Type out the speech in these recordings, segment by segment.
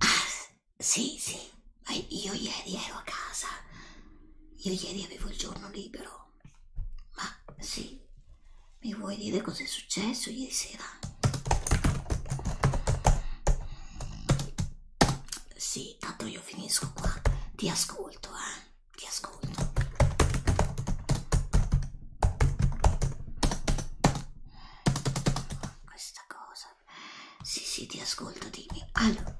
Ah, sì, sì, ma io ieri ero a casa. Io ieri avevo il giorno libero. Ma sì, mi vuoi dire cosa è successo ieri sera? Sì, tanto io finisco qua. Ti ascolto, eh. Ti ascolto. Questa cosa. Sì, sì, ti ascolto, dimmi. Allora.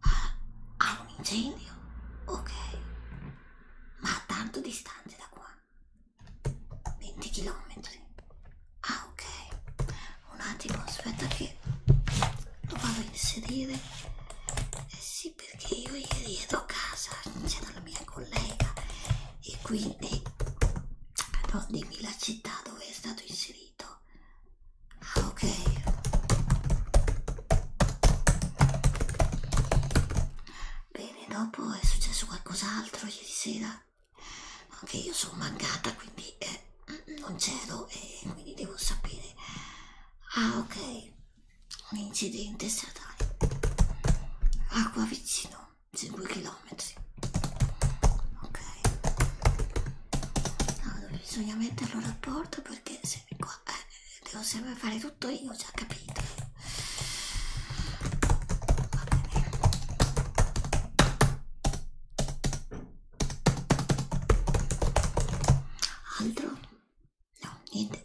Ah, hai un incendio? Ok. Ma a tanto distante da qua. 20 km ah ok un attimo aspetta che lo vado a inserire eh sì perché io ieri ero a casa c'era la mia collega e quindi no, dimmi la città dove è stato inserito ah ok bene dopo è successo qualcos'altro ieri sera anche io sono mancata quindi eh, non c'ero e eh, quindi devo sapere ah ok un incidente stradale acqua vicino 5 km ok allora, bisogna metterlo al rapporto perché se qua eh, devo sempre fare tutto io ho già capito Altro? No, niente.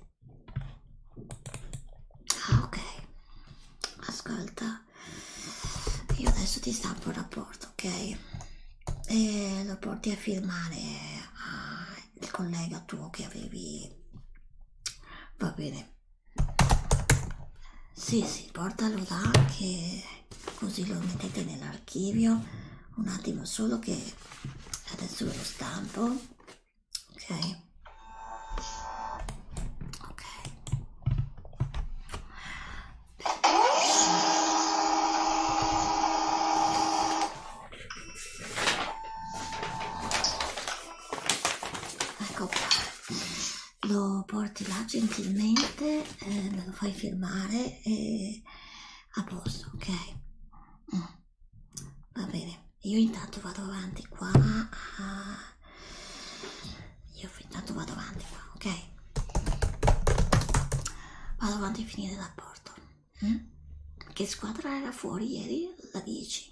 Ah, ok. Ascolta, io adesso ti stampo un rapporto, ok? E lo porti a firmare al collega tuo che avevi. Va bene. Sì, sì, portalo là che così lo mettete nell'archivio. Un attimo solo che adesso ve lo stampo. Ok. Ok. Ecco qua lo porti là gentilmente, eh, me lo fai firmare e a posto, ok? Mm. Va bene, io intanto vado avanti qua. A... Io intanto vado avanti qua, ok? Vado avanti a finire l'apporto. Mm? Che squadra era fuori ieri? La 10.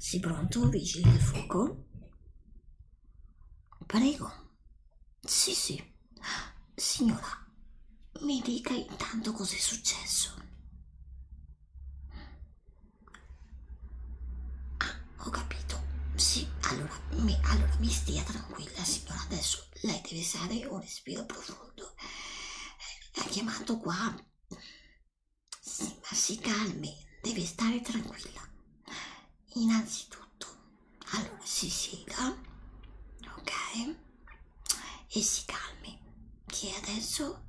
Sei pronto, vigile del fuoco? Prego. Sì, sì. Signora, mi dica intanto cos'è successo. Ah, ho capito. Sì, allora mi, allora mi stia tranquilla, signora. Adesso lei deve stare un respiro profondo. Eh, ha chiamato qua sì, ma si calmi, deve stare tranquilla. Innanzitutto, allora si siga, ok? E si calmi, che adesso,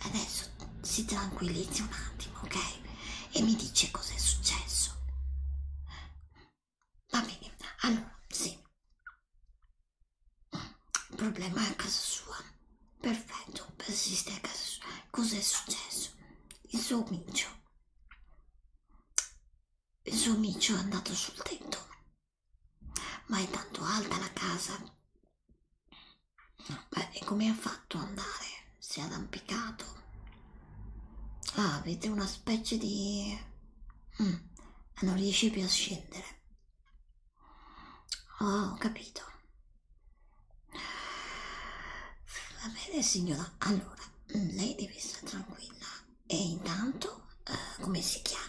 adesso si tranquillizzi un attimo, ok? E mi dice cosa è successo. Va bene, allora, sì. Il problema è a casa sua. Perfetto, persiste a casa sua. Cos'è successo? Il suo micio. Il suo micio è andato sul tetto. Ma è tanto alta la casa. Beh, e come ha fatto andare? Si è arrampicato. Ah, avete una specie di... Mm, non riesce più a scendere. Oh, ho capito. Va bene signora, allora mm, lei deve stare tranquilla. E intanto, eh, come si chiama?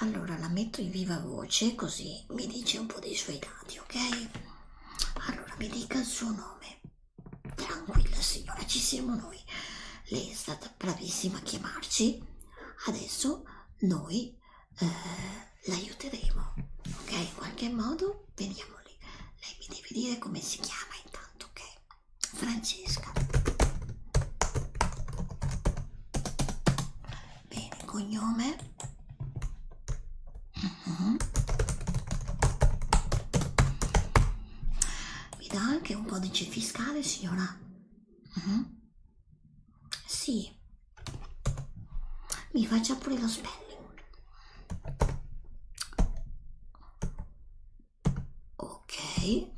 Allora la metto in viva voce così mi dice un po' dei suoi dati, ok? Allora mi dica il suo nome. Tranquilla signora, ci siamo noi. Lei è stata bravissima a chiamarci. Adesso noi eh, l'aiuteremo, ok? In qualche modo veniamo lì. Lei mi deve dire come si chiama intanto, ok? Francesca. Bene, cognome. Uh mhm. -huh. Mi dà anche un codice fiscale, signora? Uh mhm. -huh. Sì, mi faccia pure lo spelling. Ok.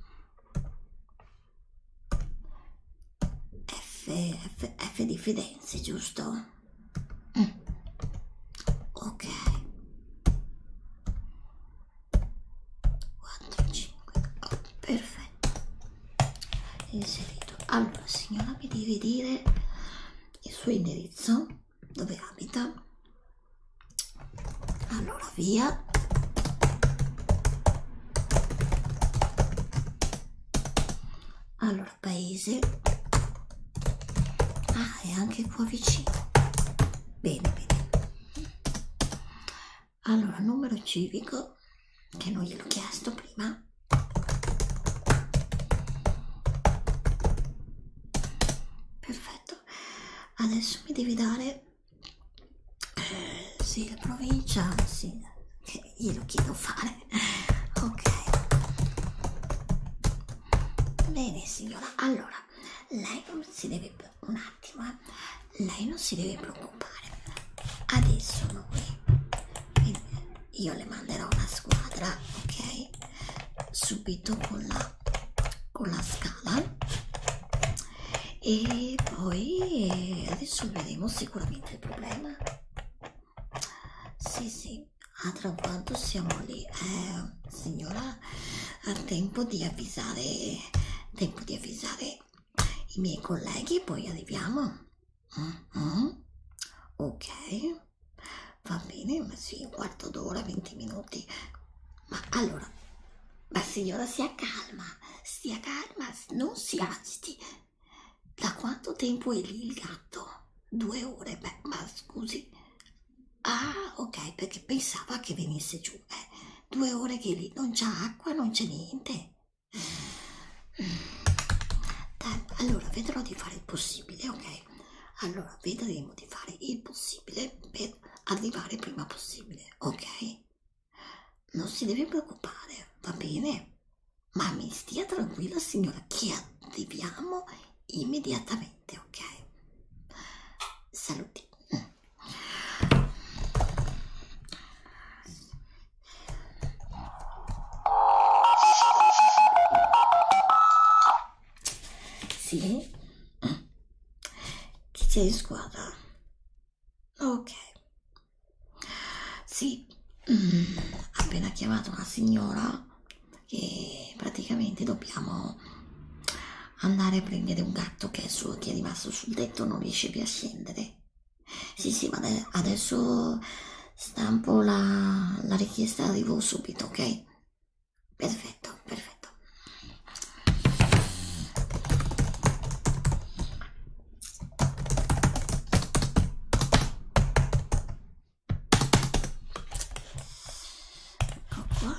F, F, F di Firenze, giusto? Mm. Ok. 4, 5, 8, perfetto caffè inserito allora signora mi devi dire il suo indirizzo dove abita allora via allora paese ah è anche qua vicino bene bene allora, numero civico, che non gliel'ho chiesto prima. Perfetto. Adesso mi devi dare... Eh, sì, la provincia, sì, che glielo chiedo fare. Ok. Bene, signora. Allora, lei si deve un attimo, eh lei non si deve preoccupare adesso noi io le manderò una squadra ok subito con la con la scala e poi adesso vedremo sicuramente il problema sì sì ah tra quanto siamo lì eh, signora ha tempo di avvisare tempo di avvisare i miei colleghi, poi arriviamo. Mm -hmm. Ok, va bene, ma sì, un quarto d'ora, 20 minuti. Ma allora, ma signora, sia calma, sia calma, non si agiti. Da quanto tempo è lì il gatto? Due ore, beh, ma scusi. Ah, ok, perché pensava che venisse giù. Eh, due ore che lì non c'è acqua, non c'è niente allora vedrò di fare il possibile ok allora vedremo di fare il possibile per arrivare prima possibile ok non si deve preoccupare va bene ma mi stia tranquilla signora che arriviamo immediatamente ok saluti sì? Chi c'è in squadra? Ok. Sì, mm, appena chiamato una signora che praticamente dobbiamo andare a prendere un gatto che è, su, che è rimasto sul tetto non riesce più a scendere sì, sì, ma adesso stampo la, la richiesta e arrivo subito, ok? Perfetto, perfetto. Ecco qua.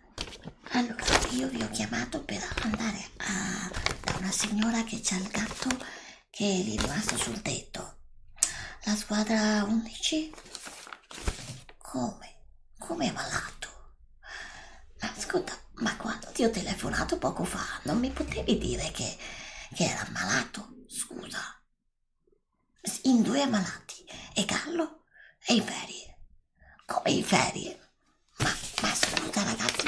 Allora, io vi ho chiamato per andare a, da una signora che c'ha il gatto che è rimasto sul tetto. La squadra 11? Come? Come è malato? Ma ascolta, ma quando ti ho telefonato poco fa non mi potevi dire che, che era malato? Scusa. In due ammalati, e Gallo e i ferie come in ferie ma, ma scusa ragazzi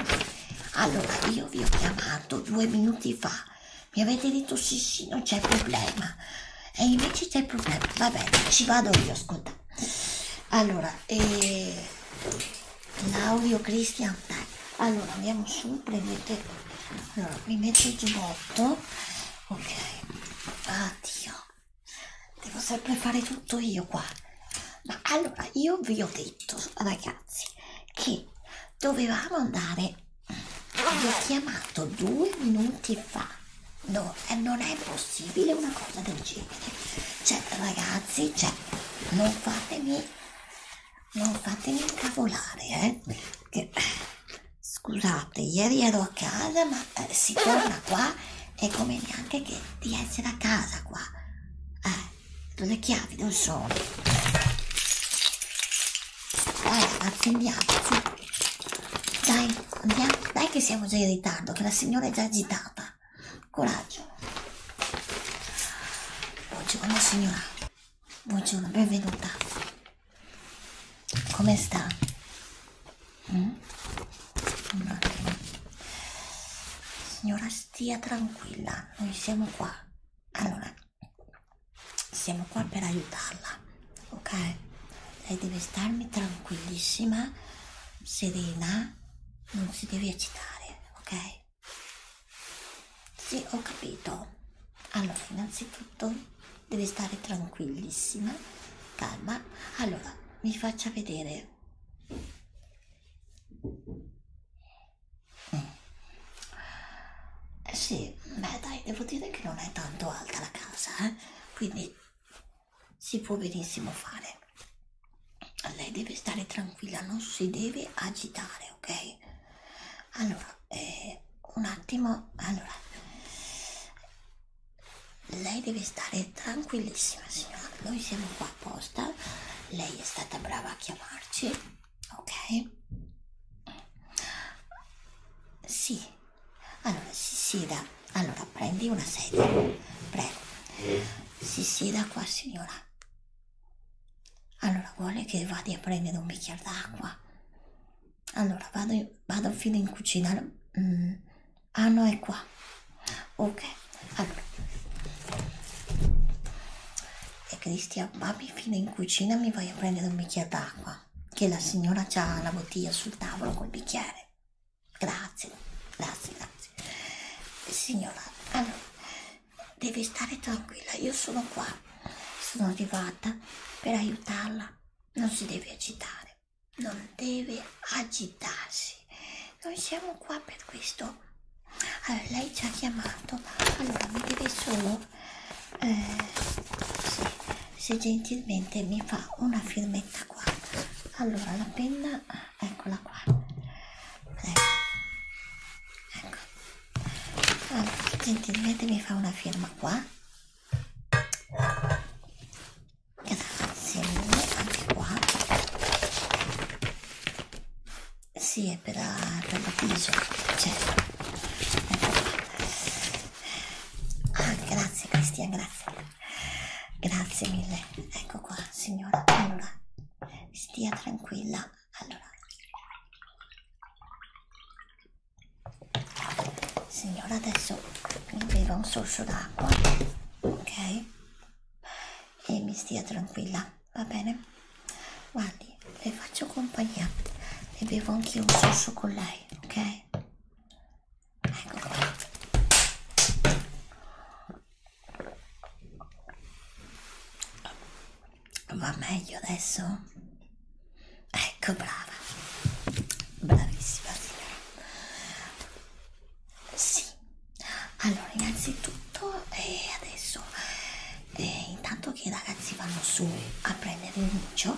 allora io vi ho chiamato due minuti fa mi avete detto sì sì non c'è problema e invece c'è problema va bene ci vado io ascolta allora eh, Claudio Cristian dai allora andiamo su prendete allora qui metto il giubbotto ok addio devo sempre fare tutto io qua ma allora io vi ho detto ragazzi che dovevamo andare vi ho chiamato due minuti fa no eh, non è possibile una cosa del genere cioè ragazzi cioè non fatemi non fatemi incavolare eh che, scusate ieri ero a casa ma eh, si torna qua è come neanche che di essere a casa qua. Eh, le chiavi non sono. Dai, ragazzi, eh, andiamo, su. Dai, andiamo. Dai che siamo già in ritardo, che la signora è già agitata. Coraggio. Buongiorno signora. Buongiorno, benvenuta. Come sta? Mm? Un attimo. Signora, stia tranquilla, noi siamo qua. Allora, siamo qua per aiutarla, ok? Lei deve starmi tranquillissima, serena, non si deve agitare, ok? Sì, ho capito. Allora, innanzitutto deve stare tranquillissima, calma. Allora, mi faccia vedere eh sì, beh dai, devo dire che non è tanto alta la casa, eh? quindi si può benissimo fare. Lei deve stare tranquilla, non si deve agitare, ok? Allora, eh, un attimo, allora, lei deve stare tranquillissima, signora. Noi siamo qua apposta. Lei è stata brava a chiamarci, ok? Sì. Allora, si sieda. Allora, prendi una sedia. Prego. Si sieda qua, signora. Allora, vuole che vada a prendere un bicchiere d'acqua? Allora, vado, vado fino in cucina. Mm ah no è qua ok allora e Cristian babbi fino in cucina mi vai a prendere un bicchiere d'acqua che la signora ha la bottiglia sul tavolo col bicchiere grazie grazie grazie signora allora devi stare tranquilla io sono qua sono arrivata per aiutarla non si deve agitare non deve agitarsi. Noi siamo qua per questo. Allora, lei ci ha chiamato, allora mi deve solo eh, se, se gentilmente mi fa una firmetta qua. Allora, la penna, eccola qua. Prego. Ecco. Allora, gentilmente mi fa una firma qua grazie mille anche qua sì è per la, per la viso certo ah, grazie Cristian grazie grazie mille ecco qua signora allora stia tranquilla allora Signora, adesso mi beva un sorso d'acqua, ok? e mi stia tranquilla, va bene? Guardi, le faccio compagnia e bevo anche un sushi con lei, ok? Ecco qua. Va meglio adesso? Ecco, brava. Bravissima signora. Sì, allora innanzitutto eh, adesso eh, intanto che i ragazzi vanno su a prendere il micio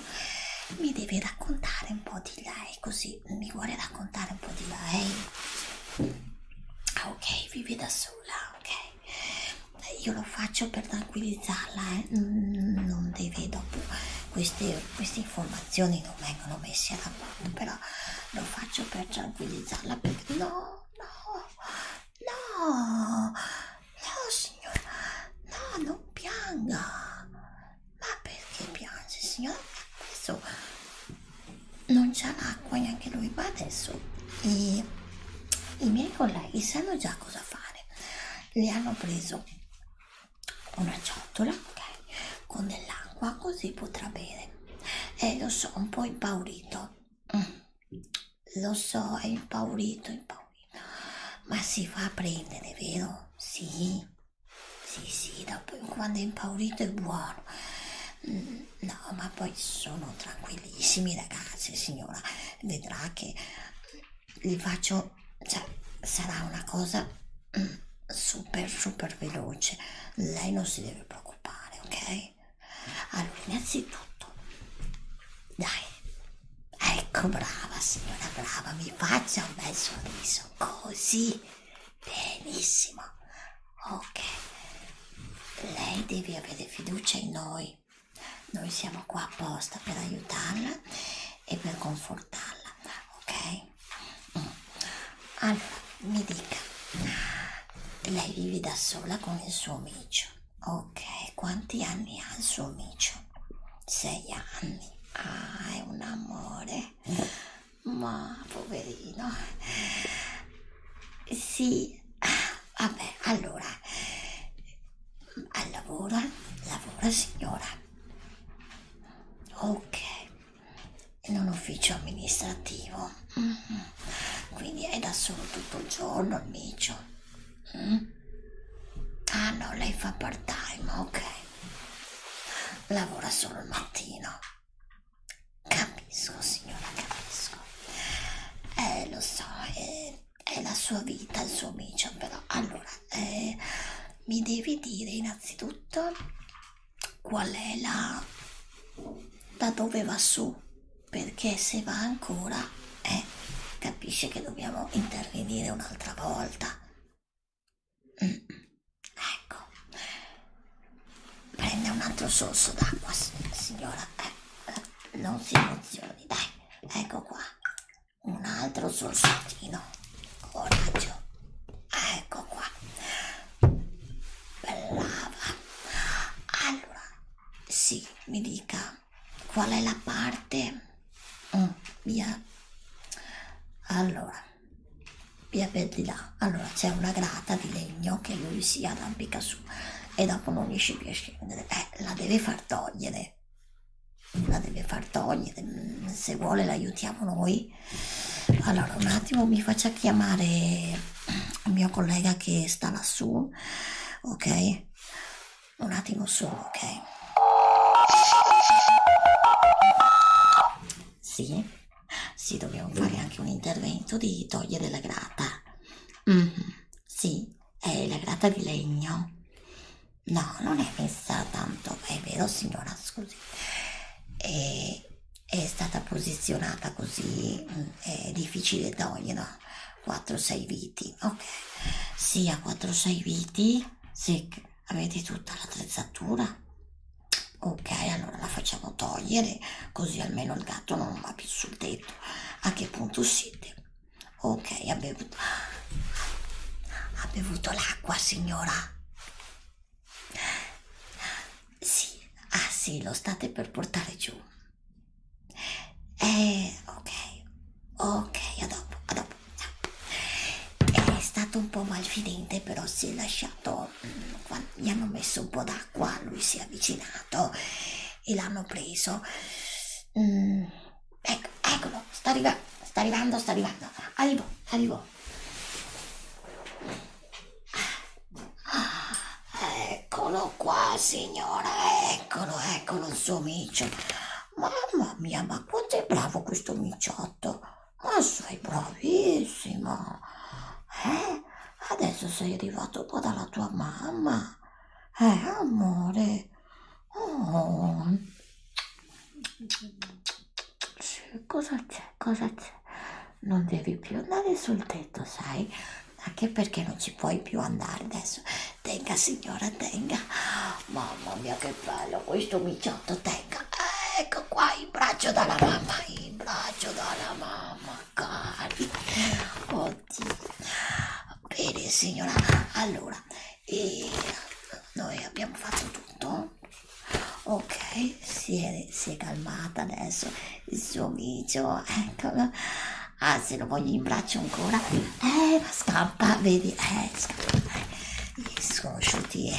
mi devi raccontare un po' di lei così mi vuole raccontare un po' di lei eh. ah, ok vivi da sola ok io lo faccio per tranquillizzarla eh. non deve dopo queste, queste informazioni non vengono messe da parte però lo faccio per tranquillizzarla perché no, no, no, no signora, no, non pianga, ma perché piange signora? Adesso non c'è l'acqua neanche lui, ma adesso i, i miei colleghi sanno già cosa fare, le hanno preso una ciotola ok con dell'acqua così potrà bere eh, lo so, un po' impaurito. Mm. Lo so, è impaurito, impaurito. Ma si fa prendere, vero? Sì, sì, sì, dopo, quando è impaurito è buono. Mm, no, ma poi sono tranquillissimi ragazzi, signora. Vedrà che li faccio, cioè, sarà una cosa super super veloce lei non si deve preoccupare ok allora innanzitutto dai ecco brava signora brava mi faccia un bel sorriso così benissimo ok lei deve avere fiducia in noi noi siamo qua apposta per aiutarla e per confortarla ok allora, mi dica, lei vive da sola con il suo amico, ok? Quanti anni ha il suo amico? Sei anni. Ah, è un amore. Ma poverino. Sì, vabbè, allora. Lavora, lavora signora. Ok, in un ufficio amministrativo mm -hmm. quindi è da solo tutto il giorno il micio mm? Mm-hmm. ah no lei fa part time ok lavora solo il mattino capisco signora capisco eh lo so eh, è la sua vita il suo micio però allora eh, mi devi dire innanzitutto qual è la da dove va su perché se va ancora eh, capisce che dobbiamo intervenire un'altra volta mm. ecco prenda un altro sorso d'acqua signora eh, eh, non si emozioni dai ecco qua un altro sorsettino coraggio ecco qua brava allora sì mi dica qual è la parte mm, via allora via per di là allora c'è una grata di legno che lui si arrampica su e dopo non riesce più a scendere eh, la deve far togliere la deve far togliere mm, se vuole l'aiutiamo noi ok allora un attimo mi faccia chiamare il mio collega che sta lassù ok un attimo solo ok sì sì dobbiamo fare anche un intervento di togliere la grata mm -hmm. sì è la grata di legno no non è messa tanto è vero signora scusi e eh, è stata posizionata così mm, è difficile toglierla 4-6 viti ok sì a 4-6 viti sì, avete tutta l'attrezzatura ok allora la facciamo togliere così almeno il gatto non va più sul tetto a che punto siete ok ha bevuto ha bevuto l'acqua signora sì, ah sì, lo state per portare giù. Eh, ok, ok, a dopo, a dopo. È stato un po' malfidente, però si è lasciato. Mm, Quando gli hanno messo un po' d'acqua, lui si è avvicinato e l'hanno preso. Mm, ecco, eccolo, sta arrivando, sta arrivando, sta arrivando. Arrivo, arrivo. Eccolo qua, signora, eccolo, eccolo il suo micio. Mamma mia, ma quanto è bravo questo miciotto. Ma sei bravissimo. Eh? Adesso sei arrivato qua dalla tua mamma. Eh, amore. Oh cosa c'è, cosa c'è? Non devi più andare sul tetto, sai? Anche perché non ci puoi più andare adesso. Tenga signora, tenga. Mamma mia che bello questo miciotto, tenga. Ecco qua il braccio dalla mamma, il braccio dalla mamma, cari. Oddio. Bene signora, allora, e eh, noi abbiamo fatto tutto ok si è, si è calmata adesso il suo viso eccolo ah se lo voglio in braccio ancora eh ma scappa vedi eh scappa eh, gli sconosciuti eh.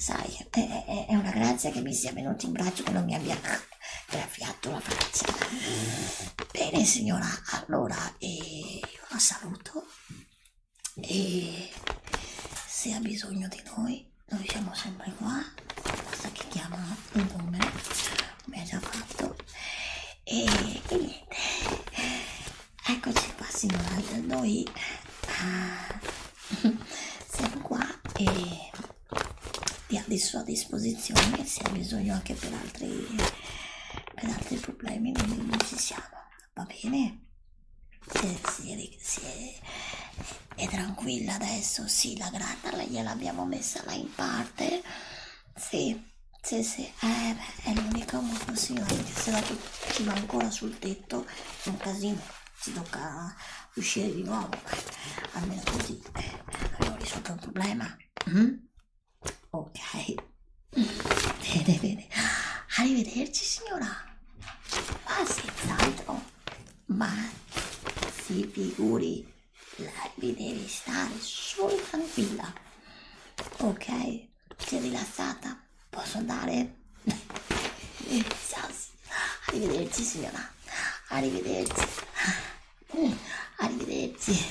sai è, è, è una grazia che mi sia venuto in braccio che non mi abbia graffiato la faccia bene signora allora eh, io la saluto e se ha bisogno di noi noi siamo sempre qua questa che chiama il nome come ha già fatto e, e niente eccoci qua signora noi uh, siamo qua e vi a disposizione se ha bisogno anche per altri per altri problemi noi ci siamo va bene eh, si, si è, è tranquilla adesso, sì, la grana gliel'abbiamo messa là in parte, sì, sì, sì, eh, beh, è l'unica occasione, perché se la ci va ancora sul tetto è un casino, ci tocca uscire di nuovo, almeno così eh, abbiamo risolto il problema, mm? ok, bene, bene, arrivederci signora, ma ah, senz'altro ma si figuri, lei deve stare solo tranquilla, ok? Sei rilassata? Posso andare? Ciao, arrivederci signora, arrivederci, arrivederci.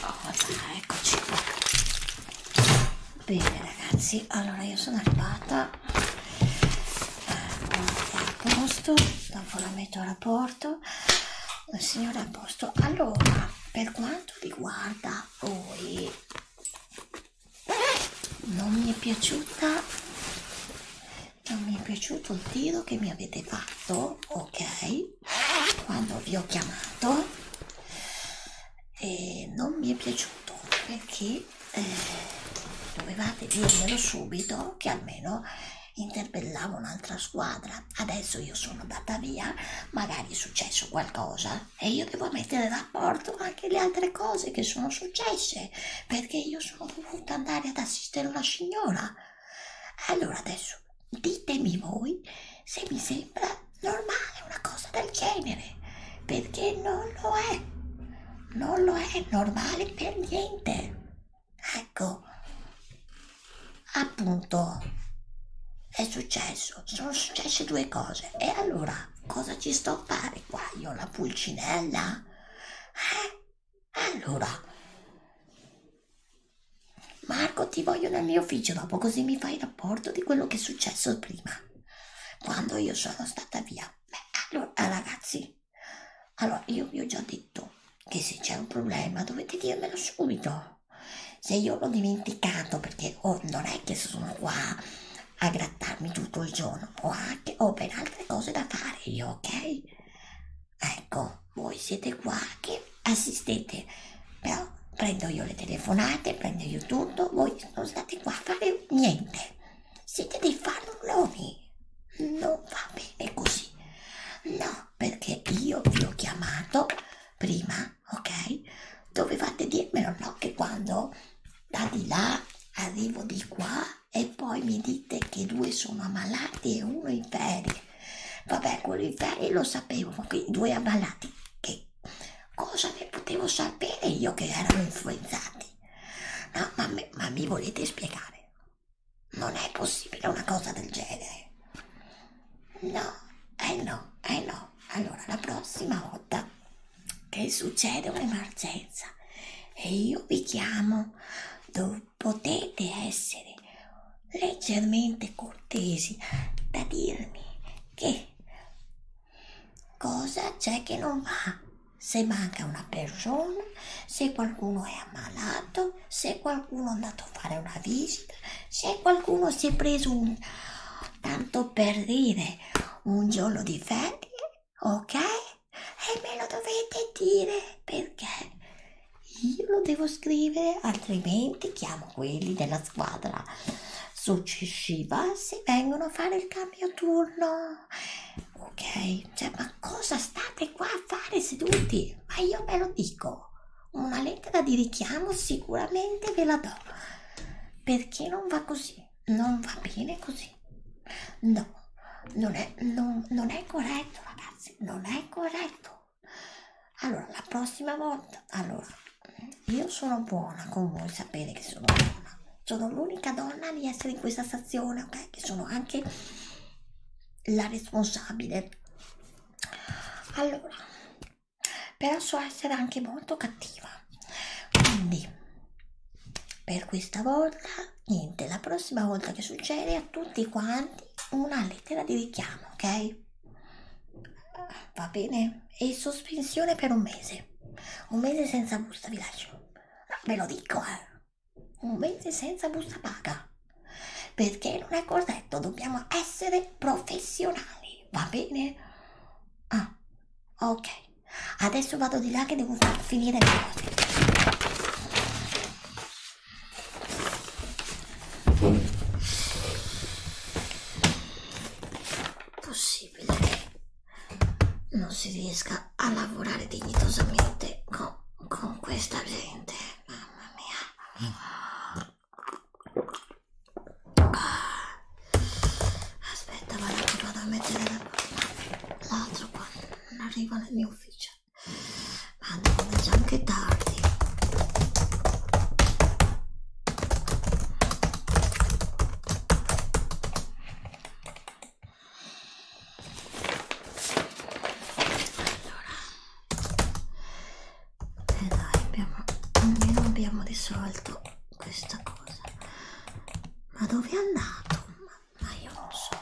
Oh, dai, eccoci qua. Bene ragazzi, allora io sono arrivata a posto dopo la metto a rapporto signore a posto allora per quanto riguarda voi non mi è piaciuta non mi è piaciuto il tiro che mi avete fatto ok quando vi ho chiamato e non mi è piaciuto perché eh, dovevate dirmelo subito che almeno interpellavo un'altra squadra adesso io sono andata via magari è successo qualcosa e io devo mettere in rapporto anche le altre cose che sono successe perché io sono dovuta andare ad assistere una signora allora adesso ditemi voi se mi sembra normale una cosa del genere perché non lo è non lo è normale per niente. Ecco, appunto, è successo, sono successe due cose. E allora, cosa ci sto a fare qua? Io la pulcinella? Eh? Allora... Marco, ti voglio nel mio ufficio dopo, così mi fai il rapporto di quello che è successo prima, quando io sono stata via. Beh, allora eh, ragazzi, allora io vi ho già detto che se c'è un problema dovete dirmelo subito. Se io l'ho dimenticato perché oh, non è che sono qua a grattarmi tutto il giorno, ho anche ho ben altre cose da fare io, ok? Ecco, voi siete qua che assistete, però prendo io le telefonate, prendo io tutto, voi non state qua a fare niente. Siete dei fannulloni. Non va bene così. No, perché io vi ho chiamato prima, ok? Dovevate dirmelo, no? Che quando da di là arrivo di qua e poi mi dite che due sono ammalati e uno in ferie. Vabbè, quello in ferie lo sapevo, ma quei due ammalati, che cosa ne potevo sapere io che erano influenzati? minuti. No, ma, me, ma mi volete spiegare? Non è possibile una cosa del genere. No, eh no, eh no. Allora, la prossima volta che succede un'emergenza e io vi chiamo, potete essere leggermente cortesi da dirmi che Cosa c'è che non va? Se manca una persona, se qualcuno è ammalato, se qualcuno è andato a fare una visita, se qualcuno si è preso un... tanto per dire un giorno di ferie, ok? E me lo dovete dire perché io lo devo scrivere, altrimenti chiamo quelli della squadra successiva se vengono a fare il cambio turno ok? Cioè, ma cosa state qua a fare seduti? Ma io ve lo dico, una lettera di richiamo sicuramente ve la do, perché non va così, non va bene così. No, non è, non, non è corretto ragazzi, non è corretto. Allora, la prossima volta, allora, io sono buona con voi, sapete che sono buona, sono l'unica donna di essere in questa stazione, ok? Che sono anche la responsabile. Allora, però so essere anche molto cattiva. Quindi, per questa volta, niente. La prossima volta che succede, a tutti quanti una lettera di richiamo, ok? Va bene? E sospensione per un mese. Un mese senza busta, vi lascio. No, ve lo dico, eh. Un mese senza busta paga. Perché non è corretto, dobbiamo essere professionali, va bene? Ah, ok. Adesso vado di là che devo far finire le cose. Possibile che non si riesca a lavorare dignitosamente con, con questa gente. Mamma mia. Aspetta, vado, vado a mettere l'altro qua. Non arriva nel mio ufficio. Madonna, è già anche tardi. Allora, e eh, dai, abbiamo, almeno abbiamo risolto questa cosa. Ma dove è andato? Ma, ma io non so.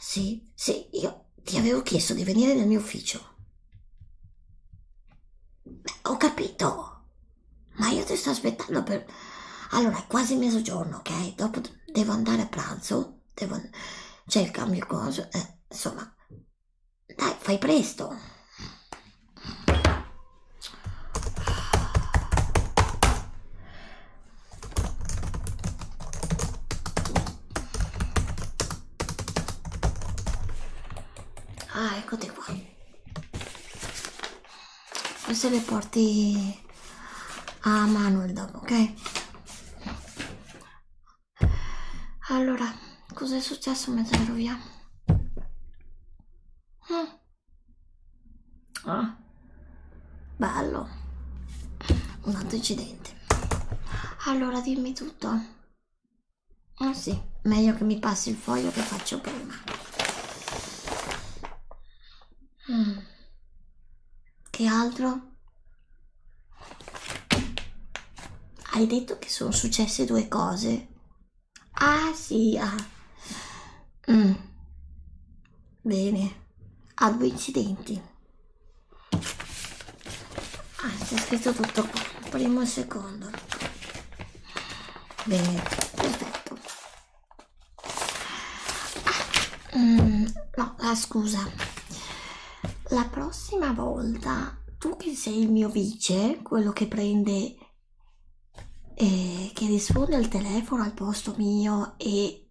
Sì, sì, io ti avevo chiesto di venire nel mio ufficio. Ho capito, ma io ti sto aspettando per... Allora, è quasi mezzogiorno, ok? Dopo devo andare a pranzo, devo... c'è il cambio coso, eh, insomma... Dai, fai presto! Ah, eccote qua. Queste le porti a Manuel dopo, ok? Allora, cos'è successo mentre ero via? Mm. Ah. Bello. Un altro incidente. Allora, dimmi tutto. Eh sì, meglio che mi passi il foglio che faccio prima. Mm. Che altro? Hai detto che sono successe due cose. Ah sì, ah. Mm. Bene, a due incidenti ah, c'è scritto tutto qua primo e secondo bene perfetto ah, mm, no ah, scusa la prossima volta tu che sei il mio vice quello che prende e eh, che risponde al telefono al posto mio e,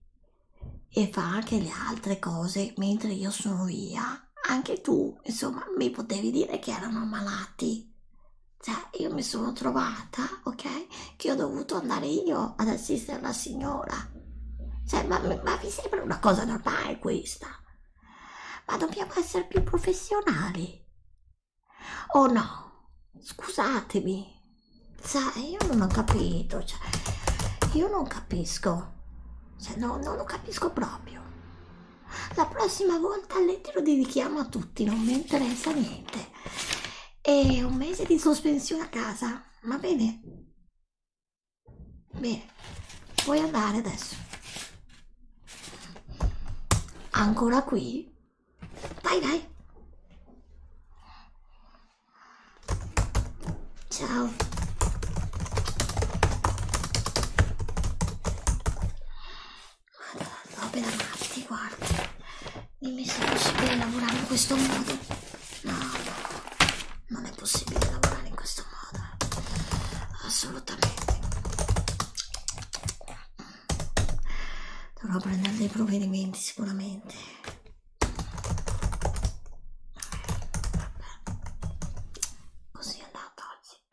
e fa anche le altre cose mentre io sono via ma anche tu insomma mi potevi dire che erano malati cioè io mi sono trovata ok che ho dovuto andare io ad assistere la signora cioè ma, ma mi sembra una cosa normale questa ma dobbiamo essere più professionali oh no scusatemi sai io non ho capito cioè, io non capisco cioè, no, non lo capisco proprio la prossima volta all'etero dedichiamo a tutti non mi interessa niente e un mese di sospensione a casa va bene bene puoi andare adesso ancora qui dai dai ciao Madonna, opera d'arte, guarda. Dimmi se è possibile lavorare in questo modo. No, non è possibile lavorare in questo modo. Eh. Assolutamente. Dovrò prendere dei provvedimenti sicuramente. Vabbè. Così è andata oggi.